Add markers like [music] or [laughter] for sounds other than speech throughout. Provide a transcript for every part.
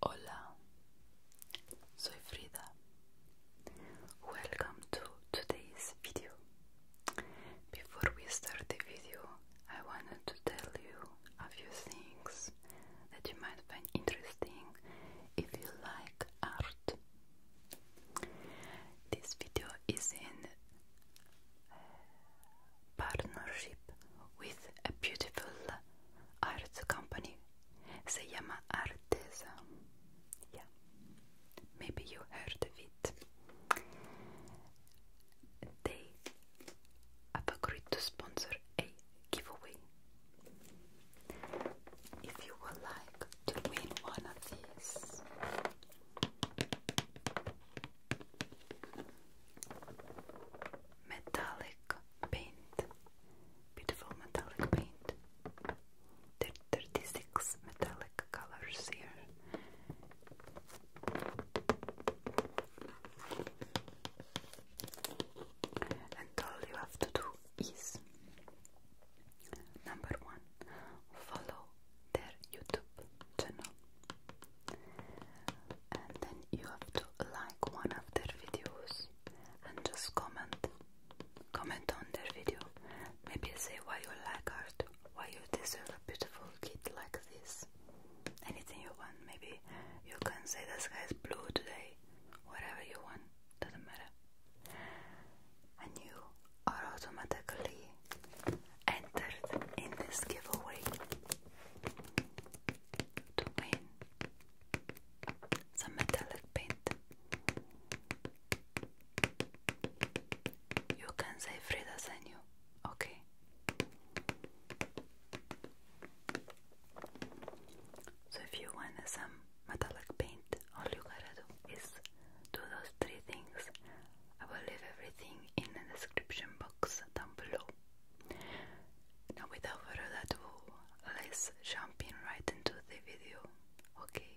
Hola, soy Frida. Welcome to today's video. Before we start the video, I wanted to tell you a few things that you might find interesting if you like art. This video is in uh, partnership with a beautiful art company. Se llama Arteza. Yeah, maybe you heard of it. They have agreed to sponsor a giveaway. If you would like to win one of these, metallic paint, beautiful metallic paint. There are 36 metallic colors here. And all you have to do is number one, follow their YouTube channel, and then you have to like one of their videos and just comment, comment on their video. Maybe say why you like art, why you deserve a beautiful kid like this. Anything you want, maybe you can say the sky is blue today, whatever you want doesn't matter. And you are automatically entered in this giveaway to win some metallic paint. You can say Frida sent you, okay? So if you want some metallic paint, all you gotta do is do those three things. I will leave everything in the description box down below. Now, without further ado, let's jump in right into the video, okay?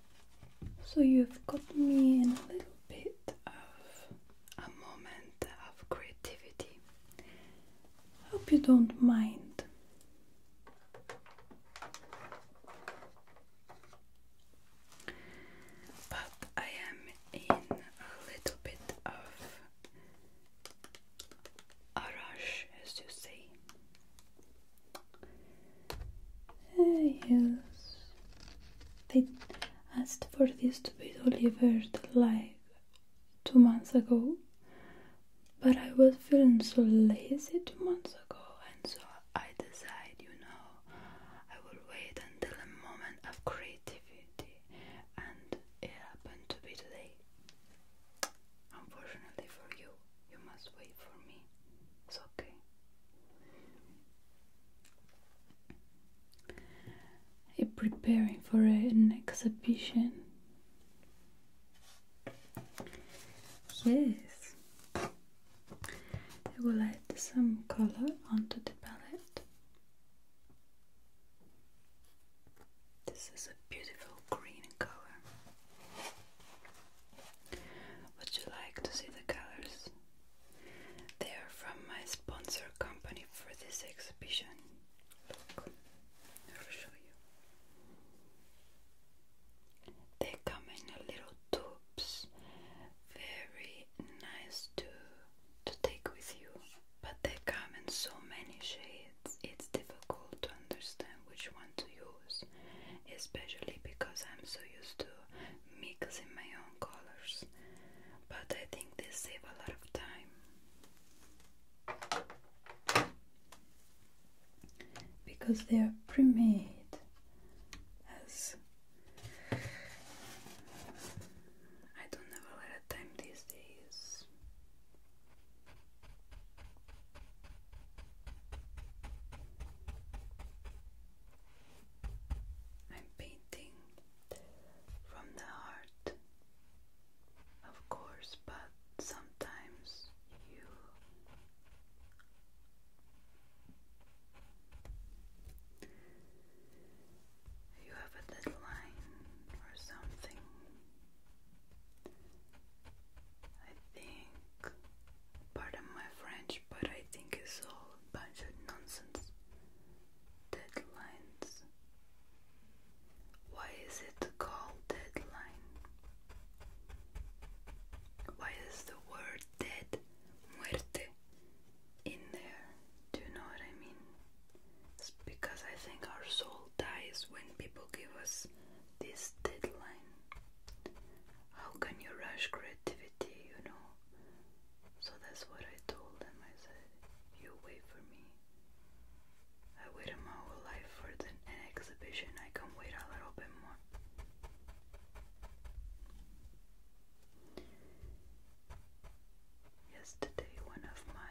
So you've got me in a little bit of a moment of creativity. Hope you don't mind. But I am in a little bit of a rush, as you say. Uh, yes. They asked for this to be delivered like two months ago, but I was feeling so lazy two months ago, and so I decided, you know, I will wait until a moment of creativity, and it happened to be today. Unfortunately for you, you must wait for me. It's okay. I'm preparing for an exhibition. Yes, I will add some color onto the palette. This is a beautiful green color. Would you like to see the colors they are from my sponsor company for this exhibition. Look, I'll show you. They come in little tubes, very nice to to take with you. But they come in so many shades, it's difficult to understand which one to use, especially because I'm so used to mix my own colors, but I think this saves a lot of time because they are pre-made as I don't have a lot of time these days. I'm painting from the heart, of course, but sometimes you you have a deadline or something. I think part my French but I think it's all a bunch of nonsense. Deadlines. Why is it called deadline? Why is the word dead, muerte, in there? Do you know what I mean? because I think our soul dies when people give us this deadline. How can you rush activity, you know. So that's what I told them. I said, You wait for me. I waited my whole life for the, exhibition. I can wait a little bit more. Yesterday, one of my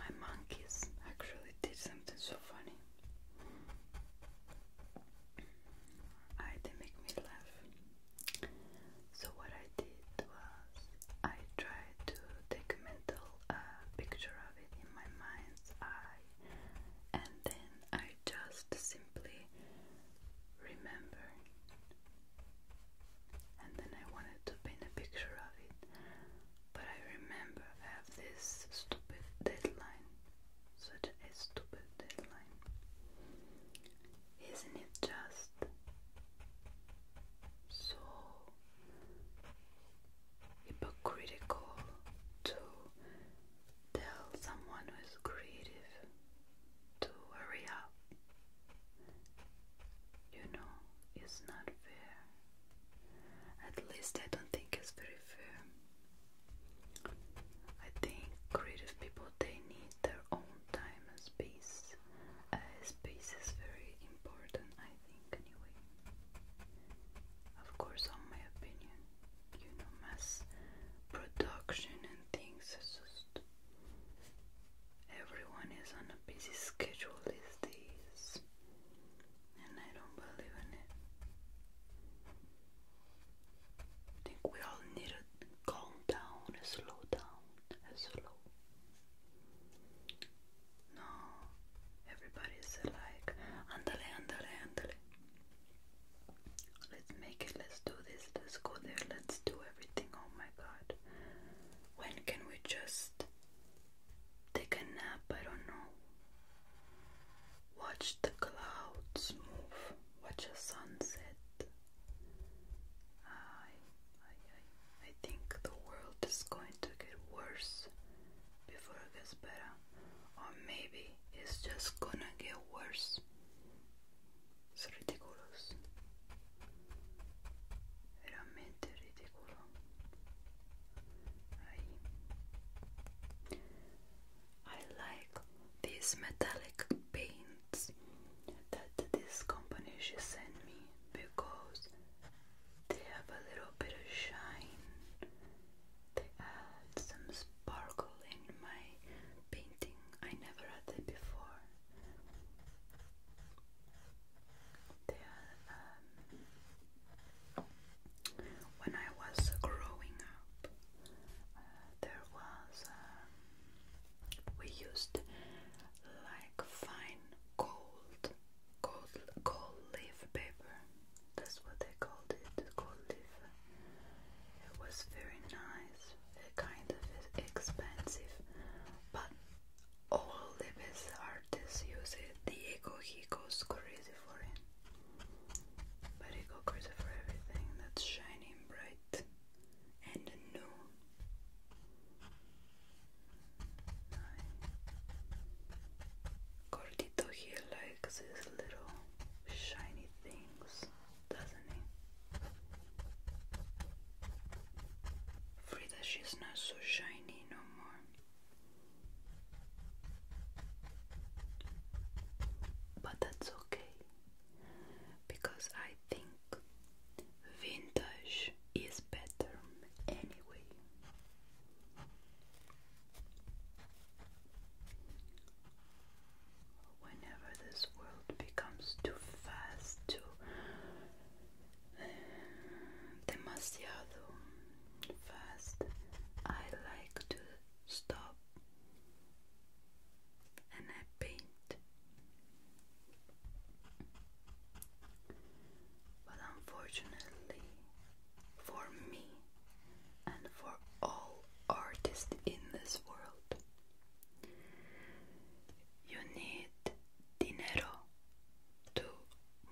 my monkeys actually did something so funny. I, they make me laugh. So what I did was I tried to take a mental uh, picture of it in my mind's eye, and then I just simply remember, and then I wanted to paint a picture of it, but I remember I have this stupid deadline such a stupid deadline. Isn't it just so hypocritical to tell someone who is creative to hurry up? You know, it's not fair. At least I don't think it's very fair. I think creative people they need their own time and space. Uh, space is very important, I think, anyway. Of course, on my opinion, you know, mass production and things. just everyone is on a busy schedule these days, and I don't believe in it. I think we all need to calm down and slow down and slow. No, everybody's like, andale, andale, andale. Let's make it, let's do this, let's go there, let's do everything. Oh my god. When can we just take a nap? I don't know. Watch the clouds move, watch a sunset. I, I, I, think the world is going to get worse before it gets better, or maybe it's just gonna get worse. ridiculous. Veramente ridicolo. I, I like this metallic paint that this company should send me because they have a little bit of shine. They add some sparkle in my painting. I never had that before. They are, um, when I was growing up, uh, there was. Um, we used like fine gold, gold, gold leaf paper. That's what they called it, gold leaf. It was very nice, kind of expensive, but all the best artists use it. Diego, he goes crazy for it. But he goes crazy for everything that's shining bright and a no. here likes these little shiny things, doesn't he? Frida, she's not so shiny no more. But that's okay because I think vintage is better anyway. Whenever this world becomes too fast, too [sighs] demasiado fast, I like to stop and I paint. But unfortunately, for me and for all artists in this world, you need dinero to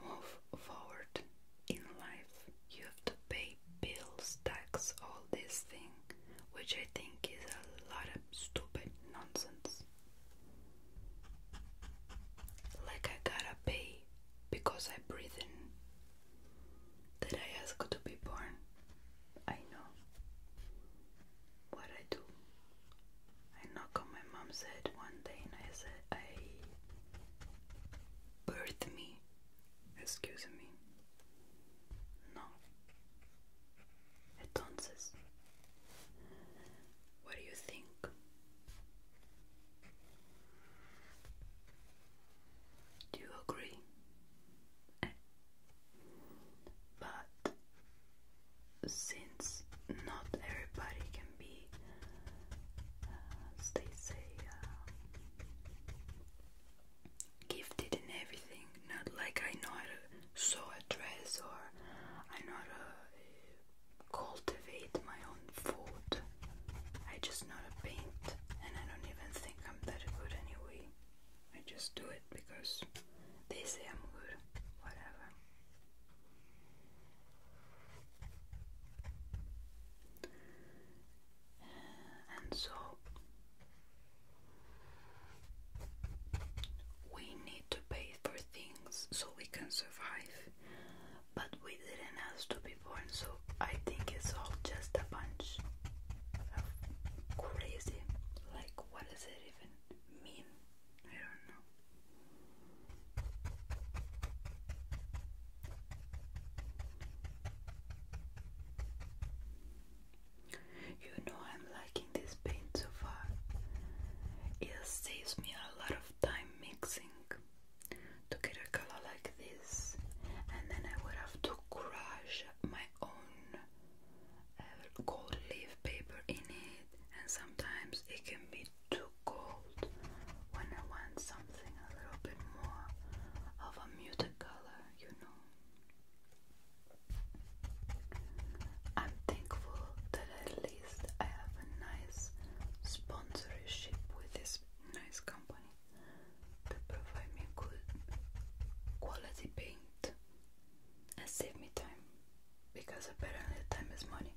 move forward in life. You have to pay bills, tax, all these things which I think is a lot of stupid nonsense. Like I gotta pay because I breathe in. Did I ask to be born? I know. What I do? I knock on my mom's head one day and I said, I birth me. Excuse me. No, Entonces, what do you think? Do you agree? But since not everybody can be, uh, as they say, uh, gifted in everything. Not like I know how to sew a dress or I know how to cultivate my own food. I just know to paint, and I don't even think I'm that good anyway. I just do it because they say I'm good. Whatever. And so we need to pay for things so we can survive, but we didn't ask to be born, so I think it's all just a bunch of crazy. Like, what does it even mean? I don't know. You know I'm liking this paint so far. It saves me a lot of time mixing to get a color like this, and then I would have to crush my own uh, gold leaf paper in it, and sometimes it can be too cold when I want something a little bit more of a muted color, you know. I'm thankful that at least I have a nice sponsorship with this nice company to provide me good quality paint and save me time because apparently time is money.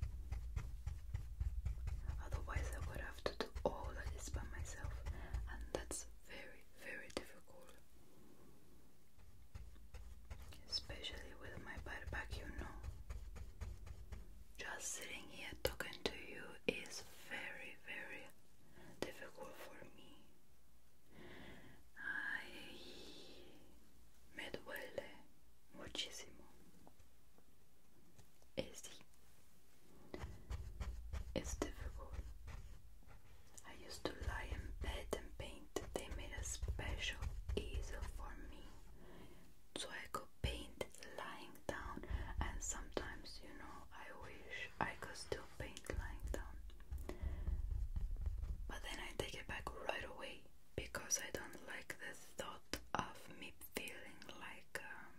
Otherwise, I would have to do all of this by myself, and that's very, very difficult. Especially with my butt back, you know. Just sitting here talking to you is very, very difficult for me. Ay, me duele muchísimo. Eh, sí. It's difficult. I used to lie in bed and paint. They made a special easel for me. So I could paint lying down, and sometimes, you know, I wish I could still paint lying down. But then I take it back right away because I don't like the thought of me feeling like um,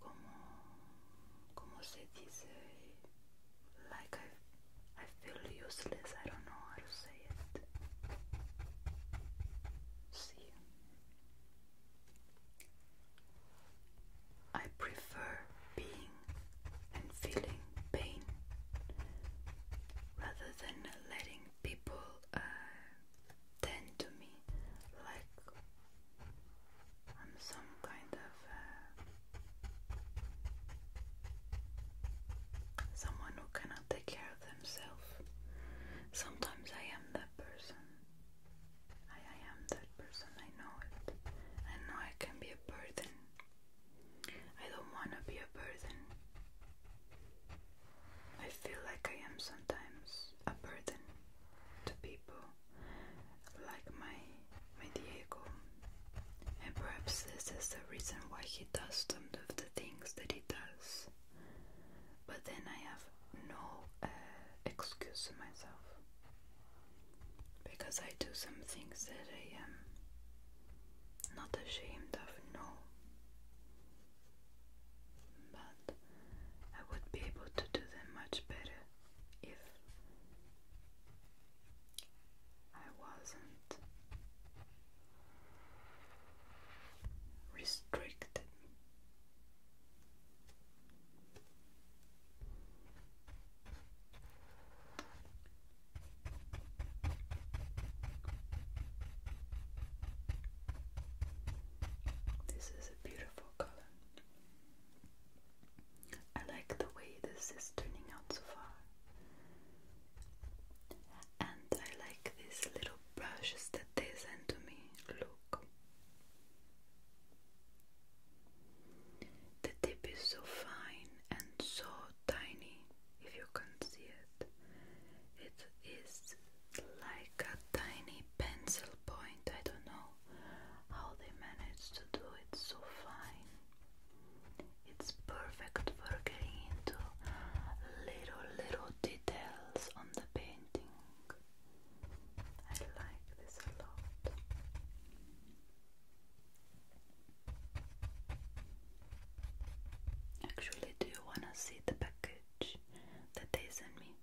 como, como se dice, like I, I feel useless, I don't know how to say it. See, I prefer being and feeling pain rather than letting people uh, tend to me like I'm some kind of uh, someone who cannot take care of themselves. Sometimes I am that person. I am that person, I know it. I know I can be a burden. I don't want to be a burden. I feel like I am sometimes a burden to people like my my Diego. And perhaps this is the reason why he does some of the things that he does. But then I have no uh, excuse myself because I do some things that I am not ashamed of. No, but I would be able to do them much better if I wasn't restricted. This is a beautiful color. I like the way this is turning out so far. And I like these little brushes that they send to me. Look. The tip is so fine and so tiny, if you can see it. It is like a tiny pencil point, I don't know how they managed to do it so fine. It's perfect for getting into little, little details on the painting. I like this a lot. Actually, do you want to see the package that they sent me?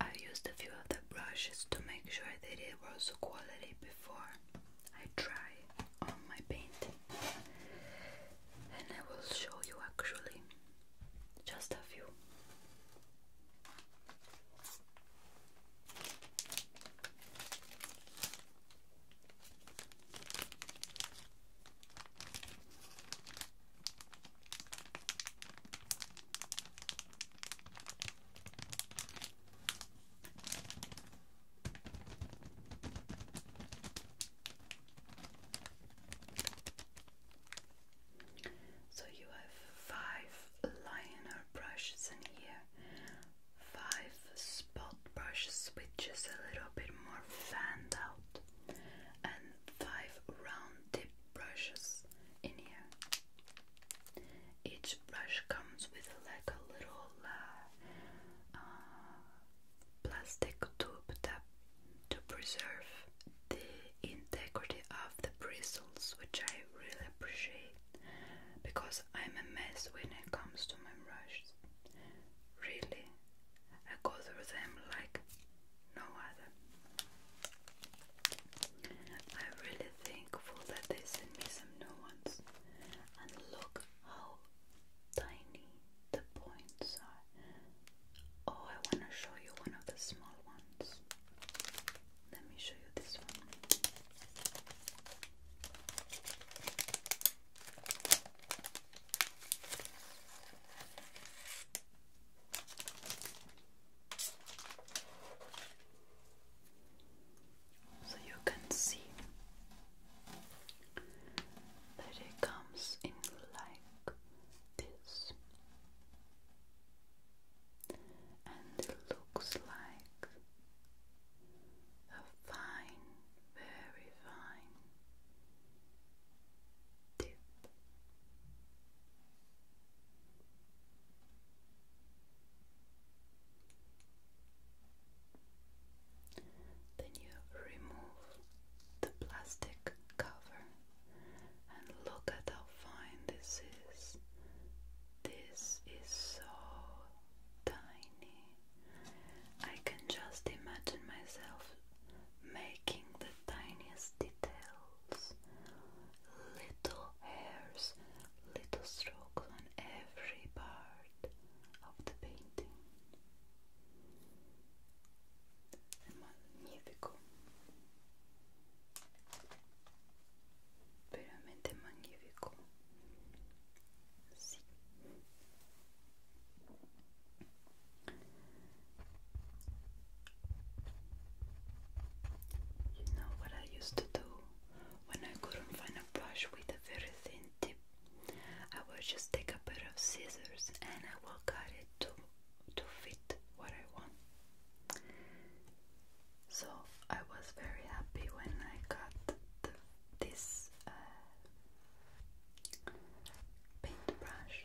I used a few of the brushes to make sure that it was quality before I try on my painting, and I will show you actually just a few. So you have five liner brushes in here, five spot brushes, which is a little bit more fanned out, and five round tip brushes in here. Each brush comes with like a little uh, plastic tube that to preserve the integrity of the bristles, which I really appreciate because I'm a mess when it comes to my brushes. Really, I go through them like no other. I really thankful that they sent me some new ones. And look how tiny the points are. Oh, I want to show you one of the small ones. Let me show you this one. So you can see that it comes in like this, and it looks like a fine, very fine tip. Then you remove the plastic cover and look at how fine this is. This is so tiny. I can just imagine myself making the tiniest details, little hairs, little strokes on every part of the painting. È magnifico, veramente magnifico. You know what I used to do when I couldn't find a brush with a very thin tip? I would just take a pair of scissors and I will cut it to to fit what I want. So I was very happy when I got this uh, paintbrush.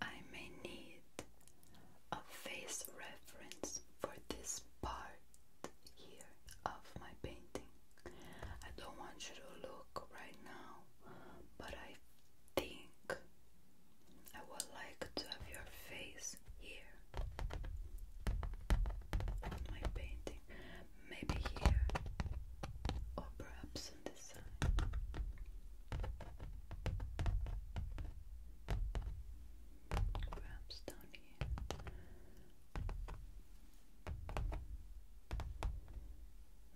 I may need a face reference for this part here of my painting. I don't want you to look right now, but I think I would like to have your face here on my painting, maybe here, or perhaps this side. Perhaps down here.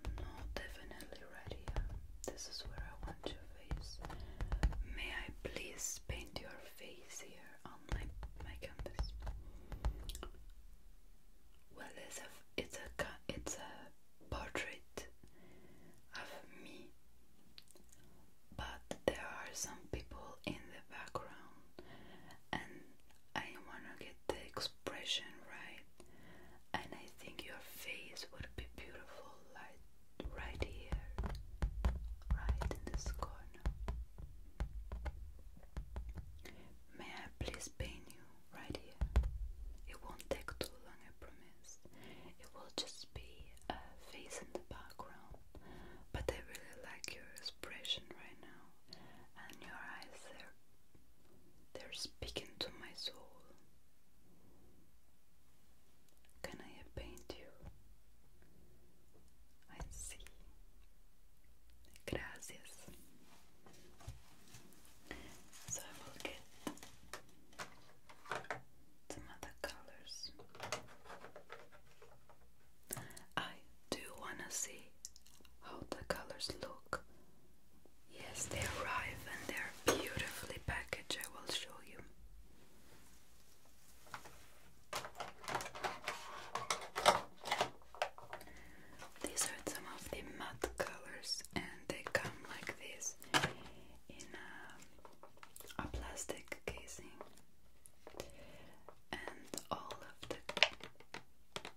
No, definitely right here. This is where I want your face. May I please paint your face here on my my canvas? Well, it's a it's a it's a portrait of me, but there are some people in the background, and I want to get the expression right. And I think your face would be beautiful, like right here, right in this corner. May I please paint you right here? It won't take too long, I It will just be a face in the background, but I really like your expression right now, and your eyes they're, they're speaking to my soul. Can I paint you? I see. Gracias. So I will get some other colors. I do wanna see how the colors look. Yes, they arrive and they're beautifully packaged. I will show you. These are some of the matte colors, and they come like this in a a plastic casing and all of the,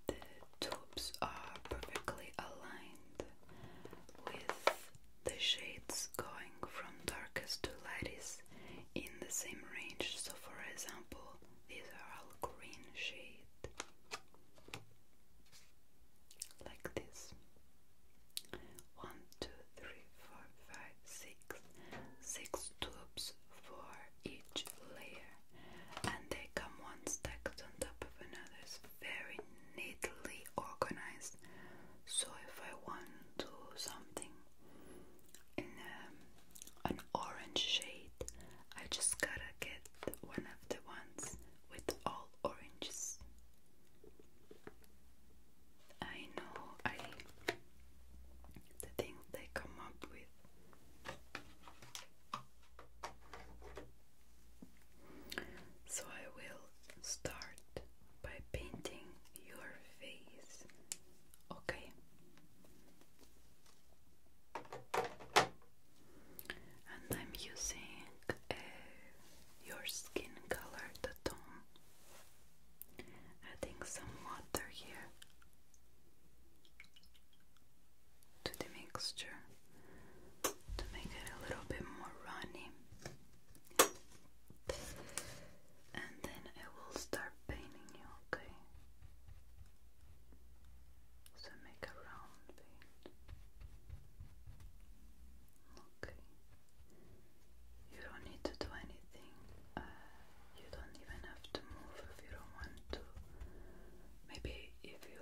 the tubes are perfectly aligned with the shades going from darkest to lightest in the same range so for example these are all green shade like this. One, two, three, four, five, six, six tubes for each layer, and they come one stacked on top of another. very neatly organized. So if I want to something in um, an orange shade, I just gotta get one of the ones with all oranges. I know I the things they come up with so I will start by painting your face okay and I'm using Eh, your skin color, the tone. Adding some water here to the mixture to make it a little bit more runny. And then I will start painting you, okay? So make a round paint. Okay. You don't need to do anything. Uh, you don't even have to move if you don't want to. Maybe if you,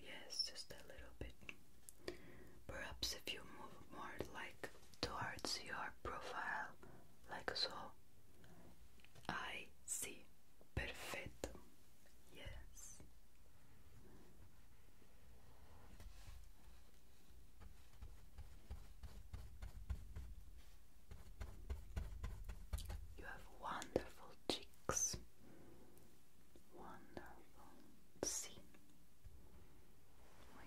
yes, just a little bit. Perhaps if you move more like towards your profile, like so. I see. Perfetto. Yes. You have wonderful cheeks, wonderful. Sí, muy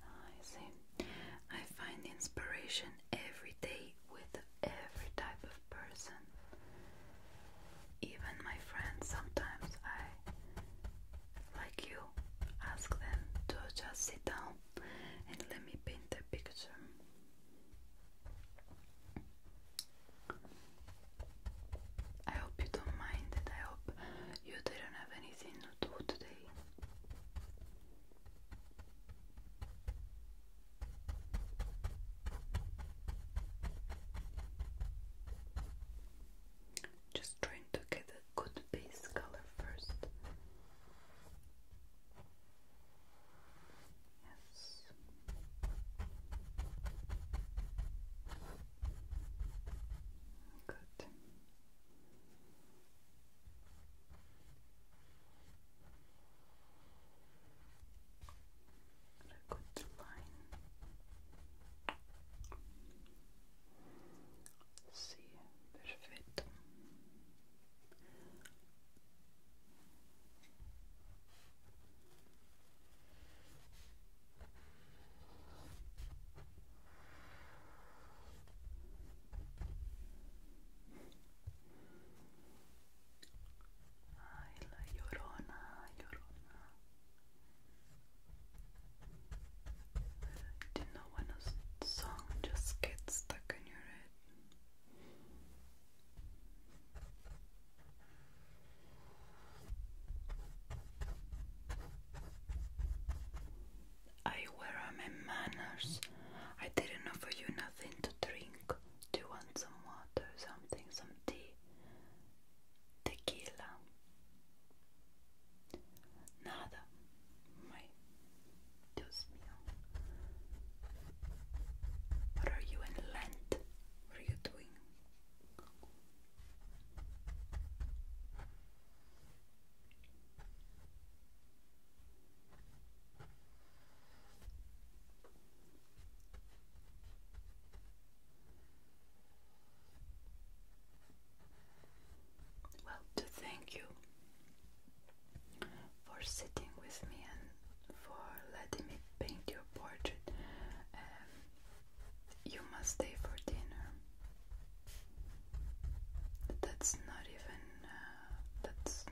I see. I find inspiration every day with every type of person. Even my friends, sometimes I, like you, ask them to just sit down and let me paint a picture. I hope you don't mind it. I hope you didn't have anything to do today. Just trying to get a good base color first. Yes. Good. Got a Sì, perfetto. Ay, la llorona, llorona. Do you know when a song just gets stuck in your head? I wear my manners. I didn't offer you nothing to drink. Do you want some water, something, some tea? Tequila. Nada. My Dios mío. What are you in Lent? What are you doing? Well, to thank you for sitting with me and for letting me paint your portrait, um, you must stay for dinner. That's not even uh, that's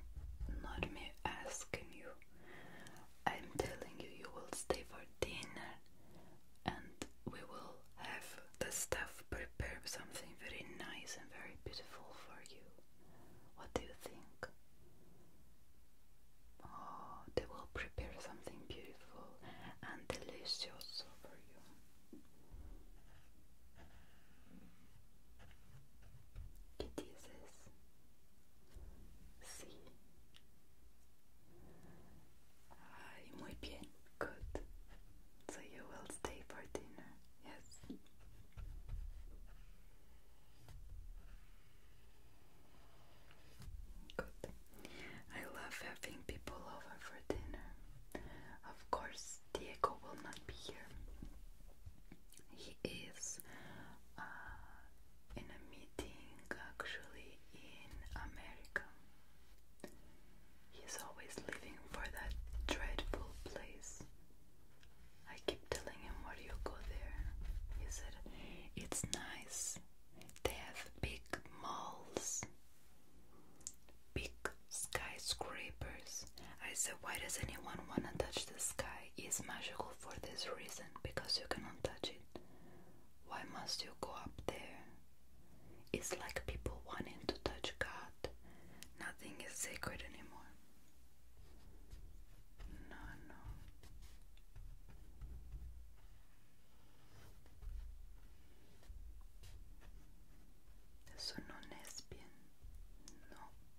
not me asking you. I'm telling you, you will stay for dinner and we will have the staff prepare something very nice and very beautiful for you. What do you think? Oh, they will prepare something beautiful and delicious for you. ¿Qué dices? Sí. Ay, muy bien. Good. So you will stay for dinner. Yes. Good. I love having people over for dinner. Of course, Diego will not be here. He is uh, in a meeting actually in America. He's always leaving for that dreadful place. I keep telling him, Why do you go there? He said, It's nice. They have big malls, big like skyscrapers. I said, why does anyone want to touch the sky? It's magical for this reason, because you cannot touch it. Why must you go up there? It's like people wanting to touch God. Nothing is sacred anymore. No, no. Eso no es bien. No.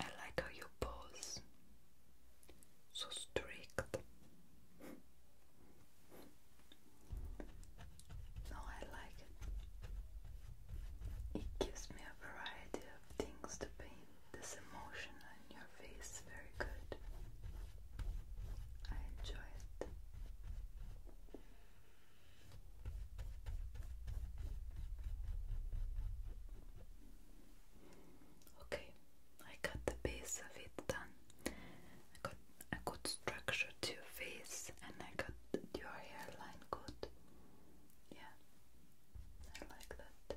I like how you pose. So strict. No, I like it. It gives me a variety of things to paint. This emotion on your face very good. I enjoy it. Okay, I got the base of it done. I got a good structure to your face and I got your hairline good. Yeah, I like that.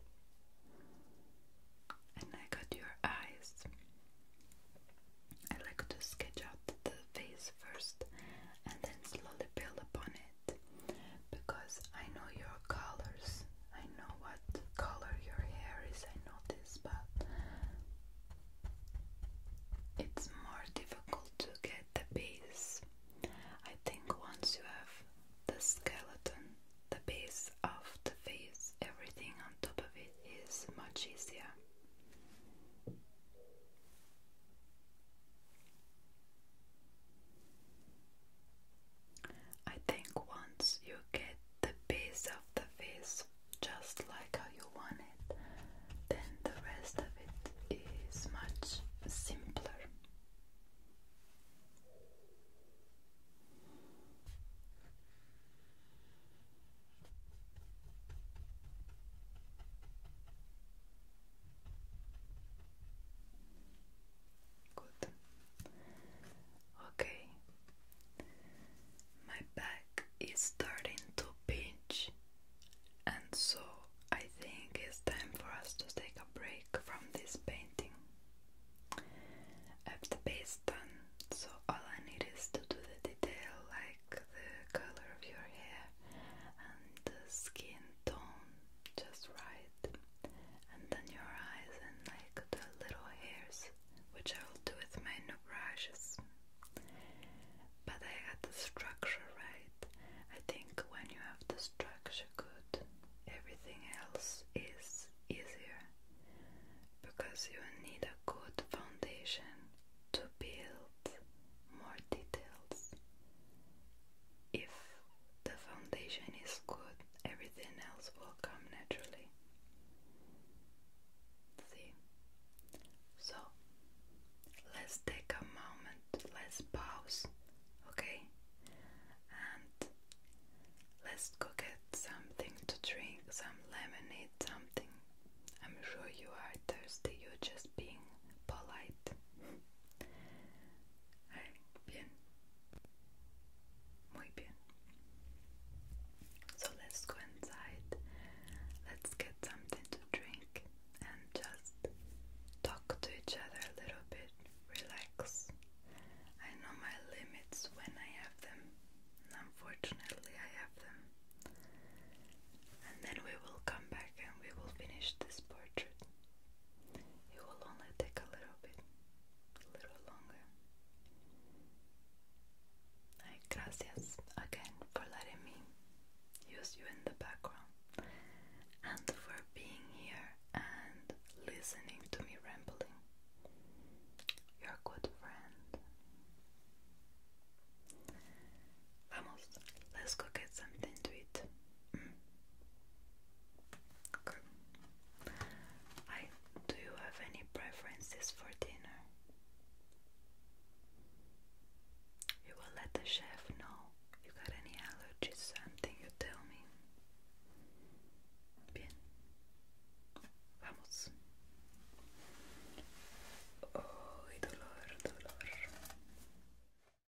And I got your eyes. I like to sketch out the face first and then slowly build upon it because I know your colors. I know what color your hair is. I know this, but it's more difficult to get the base. I think once you have the skeleton, the base of the face, everything on top of it is much easier. I think once you get the base of the face just like how you want it, then the rest of it is much simpler. Good. Okay. My back is starting to pinch, and so I think it's time for us to take a break from this painting. have the base done, so all I need is to do the detail like the color of your hair and the skin tone just right, and then your eyes and like the little hairs, which I will do with my new brushes. But I got the structure right. I think when you have the structure good, everything else is easier because you need a good foundation to build more details if the foundation is good, everything else will come naturally. See? So, let's take a moment, let's pause, okay? And let's go get something to drink, some lemonade, something. I'm sure you are thirsty, you're just being polite. Hey, bien. Muy bien. So let's go inside. Let's get something to drink and just talk to each other a little bit. Relax. I know my limits when I have them, unfortunately, I have them. And then we will come back and we will finish this portrait. It will only take a little bit, a little longer. Ay, gracias again for letting me use you in the background and for being here and listening to me rambling. Your good friend. let's go get something to eat. Mm. Okay. I do you have any preferences for dinner? You will let the chef know. You got any allergies? Something you tell me. Bien. Vamos. Oh, dolor, dolor.